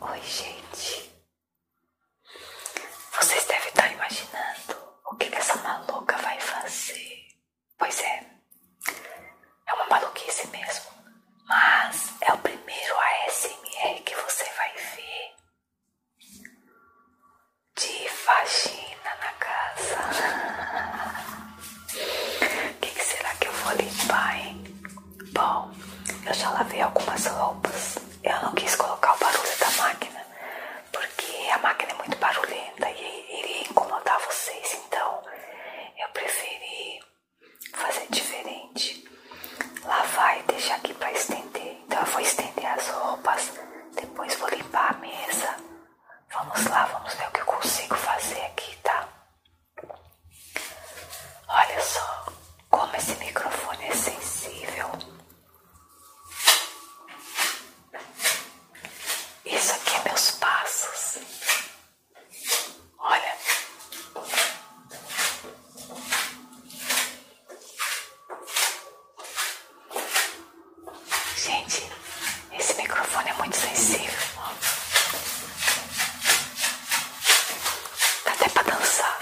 Oi, gente. Vocês devem estar imaginando o que, essa maluca vai fazer. Pois é, é uma maluquice mesmo. Mas é o primeiro ASMR que você vai ver de faxina na casa. O que, que será que eu vou limpar, hein? Bom, eu já lavei algumas roupas. Eu não quis colocar o barulho da máquina, porque a máquina é muito barulhenta e iria incomodar vocês. Então, eu preferi fazer diferente. Lavar e deixar aqui para estender. Então, eu vou estender as roupas, depois vou limpar a mesa. Vamos lá, vamos ver o que eu consigo fazer aqui, tá? Olha só como esse microfone é sensível. Isso aqui é meus passos. Olha. Gente, esse microfone é muito sensível. Dá até pra dançar.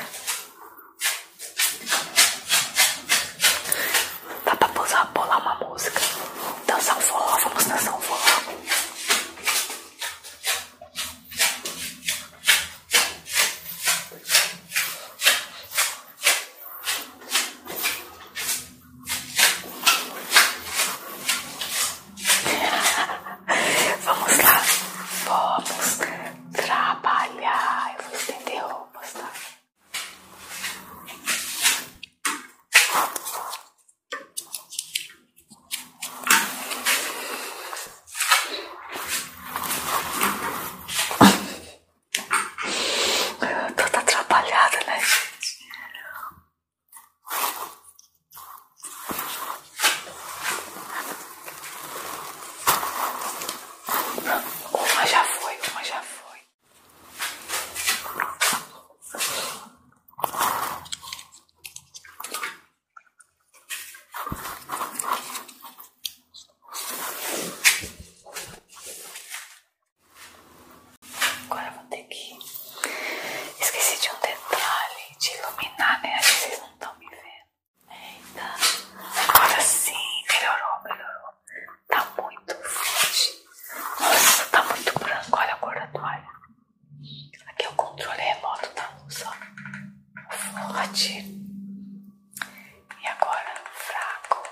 Dá pra pousar, bolar uma música. Dançar um forró, vamos dançar um forró. Vamos lá, vamos trabalhar. Eu vou estender roupas, tá? Tô atrapalhada, né, gente? Uma já foi, uma já foi. Agora vou ter aqui. Esqueci de um detalhe de iluminar, né? Acho que vocês não estão me vendo. É, Eita. Então, agora sim, melhorou, melhorou. Tá muito forte. Nossa, tá muito branco. Olha a cor da toalha. Aqui é o controle remoto da luz, ó. Forte. E agora fraco.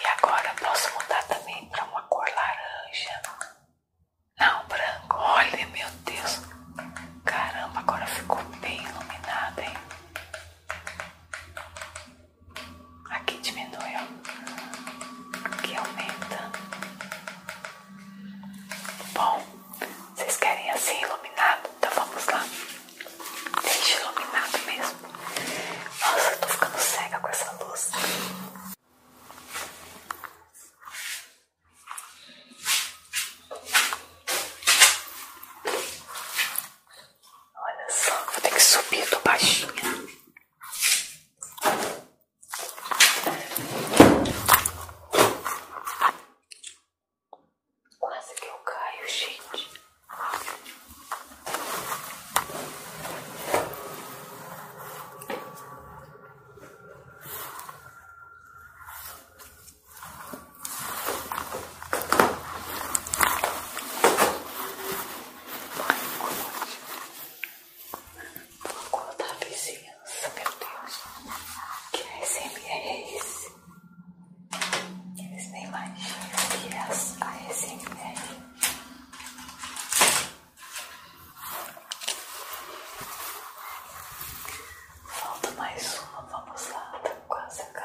E agora posso mudar também pra uma cor laranja. Não, branco. Olha, meu Deus. Caramba, agora ficou bem iluminado hein? Aqui diminui, Aqui aumenta. Bom, vocês querem assim iluminado? Então vamos lá. Deixa iluminado mesmo. Nossa, eu tô ficando cega com essa luz. Olha só, vou ter que subir, tô baixinha. Quase que eu caio, gente. Qual da vizinhança, meu Deus? Que ASMR é esse? Eles nem imaginam que é a ASMR. Falta mais uma, vamos lá, tá quase acabando.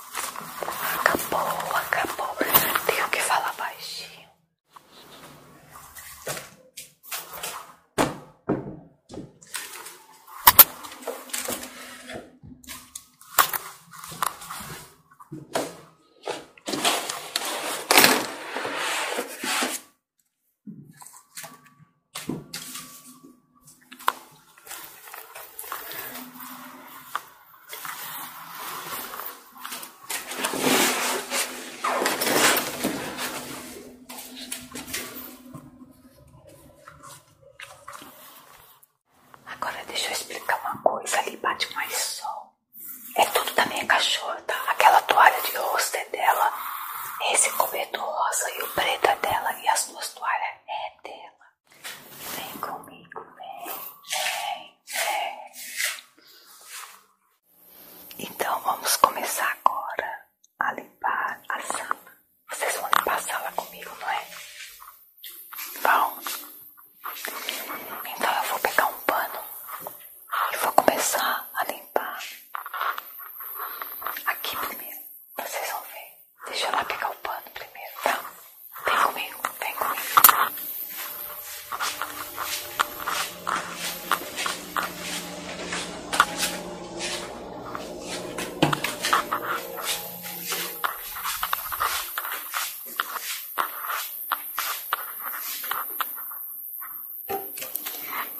Acabou, acabou. Tenho que falar baixinho. Agora deixa eu explicar uma coisa, ali bate mais sol. É tudo da minha cachorra, tá? Aquela toalha de rosto é dela, esse cobertor rosa e o preto é dela e as duas toalhas é dela. Vem comigo, vem, vem, vem. Então vamos começar agora a limpar a sala. Vocês vão limpar a sala comigo, não é? Bom, então eu vou pegar um pano e vou começar a limpar aqui primeiro. Vocês vão ver. Deixa eu lá pegar o pano primeiro, tá? Vem comigo, vem comigo.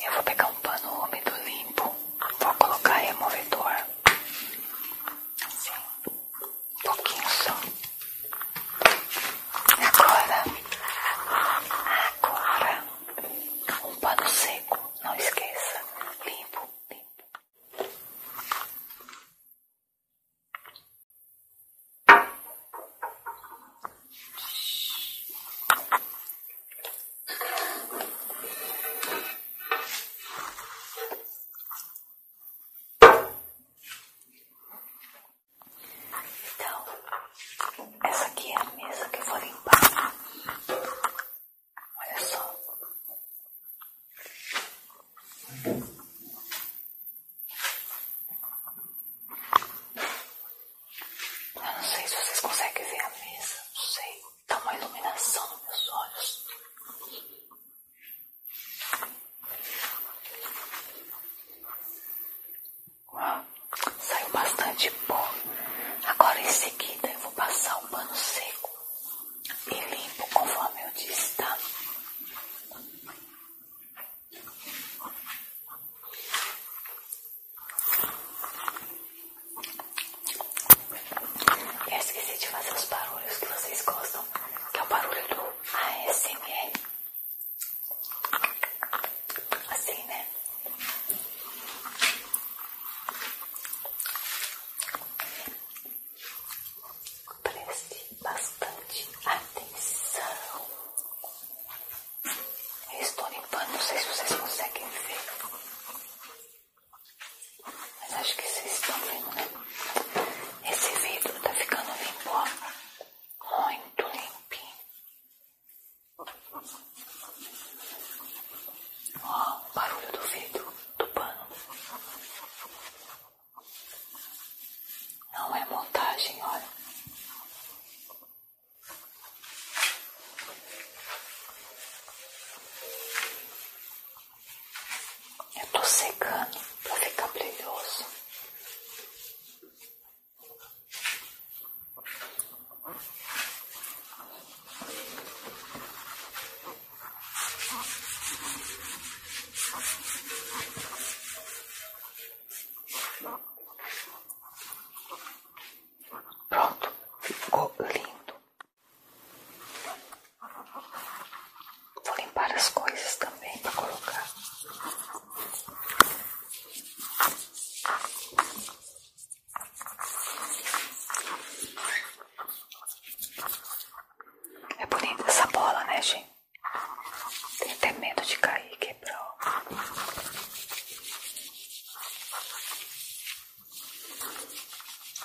Eu vou pegar um pano úmido limpo, vou colocar removedor. Assim um pouquinho só. Agora, agora, um pano seco, não esqueça, limpo, limpo. Então, essa aqui é a mesa que eu vou limpar. Olha só. Eu não sei se vocês conseguem ver a mesa, não sei. Tá uma iluminação nos meus olhos. Saiu bastante pó. Agora em seguida eu vou passar um pano seco e limpo conforme eu disse, tá? Eu esqueci de fazer os barulhos que vocês gostam, que é o barulho do ASMR. Assim, né? Preste bastante atenção. estou limpando, não sei se vocês conseguem ver. Mas acho que vocês estão vendo, né? Esse vidro tá ficando limpo, ó. Muito limpinho. Ó, o barulho do vidro, do pano. Não é montagem, olha. Eu tô secando pra ficar brilhoso. Pronto, ficou lindo. Vou limpar as coisas também para colocar. É bonita essa bola, né, gente? Tem até medo de cair e quebrar.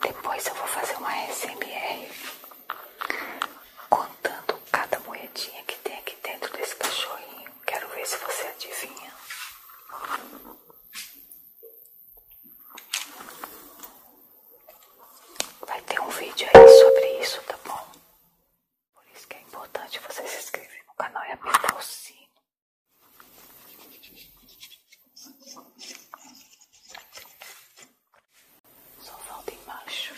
Depois eu vou fazer uma SMR contando cada moedinha que tem aqui dentro desse cachorrinho. Quero ver se você adivinha. Vai ter um vídeo aí sobre isso, tá bom? Por isso que é importante você se inscrever no canal e apertar o sino. Só falta embaixo.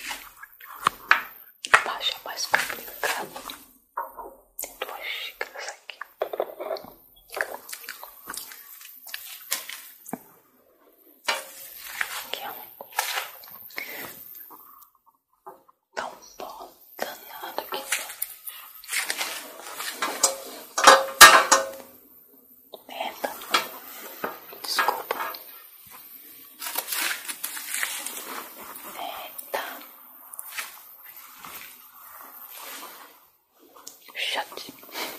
Embaixo é mais complicado. Tem duas xícaras aqui. Aqui é um. Tão bom, danado aqui. Merda. Desculpa. Merda. Shut. É, merda.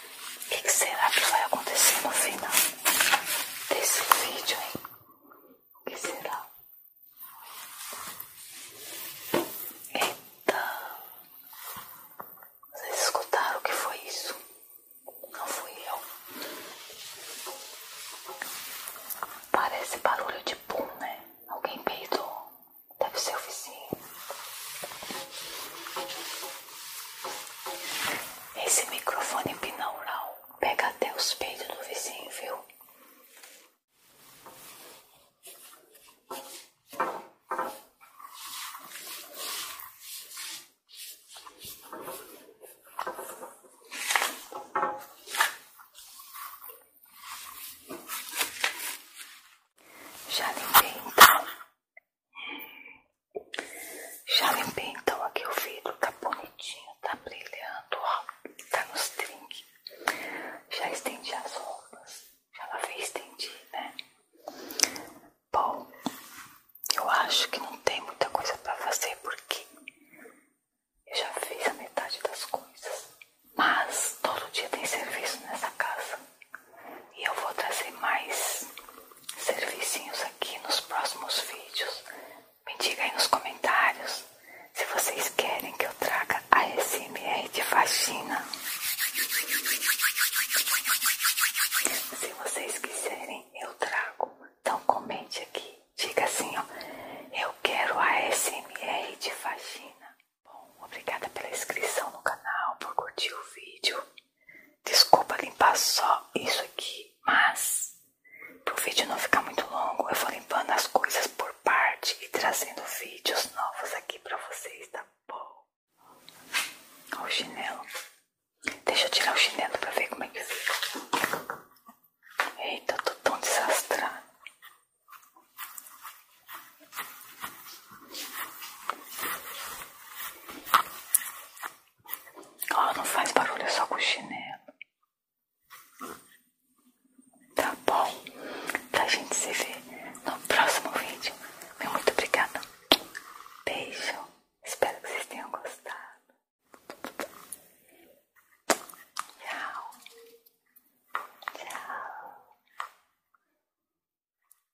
O que, será que vai acontecer no final desse vídeo, hein? O que será? Então, vocês escutaram o que foi isso? Não fui eu. Parece barulho de pum, né? Alguém peidou. Deve ser o vizinho. Esse microfone binaural pega até os peitos do vizinho, viu? Já limpei então já limpei então aqui o vidro, tá bonitinho, tá brilhando, ó, tá nos trinques. Já estendi as roupas, já lá e estendi, né? Bom, eu acho que não tem muita coisa pra fazer porque eu já fiz a metade das coisas. Mas todo dia tem serviço nessa casa. E eu vou trazer mais servicinhos aqui nos próximos vídeos. Me diga aí nos comentários se vocês querem que eu traga a SMR de faxina. Se vocês quiserem, eu trago. Então comente aqui. Diga assim, ó. Eu quero a SMR de faxina. Bom, obrigada pela inscrição no canal, por curtir o vídeo. Desculpa limpar só isso aqui, mas para o vídeo não ficar muito longo, eu vou limpando as coisas por parte e trazendo vídeos novos aqui para vocês, tá bom? Olha o chinelo. Deixa eu tirar o chinelo para ver como é que fica. Eita, eu tô tão desastrado ela não faz barulho é só com o chinelo. Tá bom? Pra gente se ver no próximo vídeo. muito obrigada. Beijo. Espero que vocês tenham gostado. Tchau. Tchau.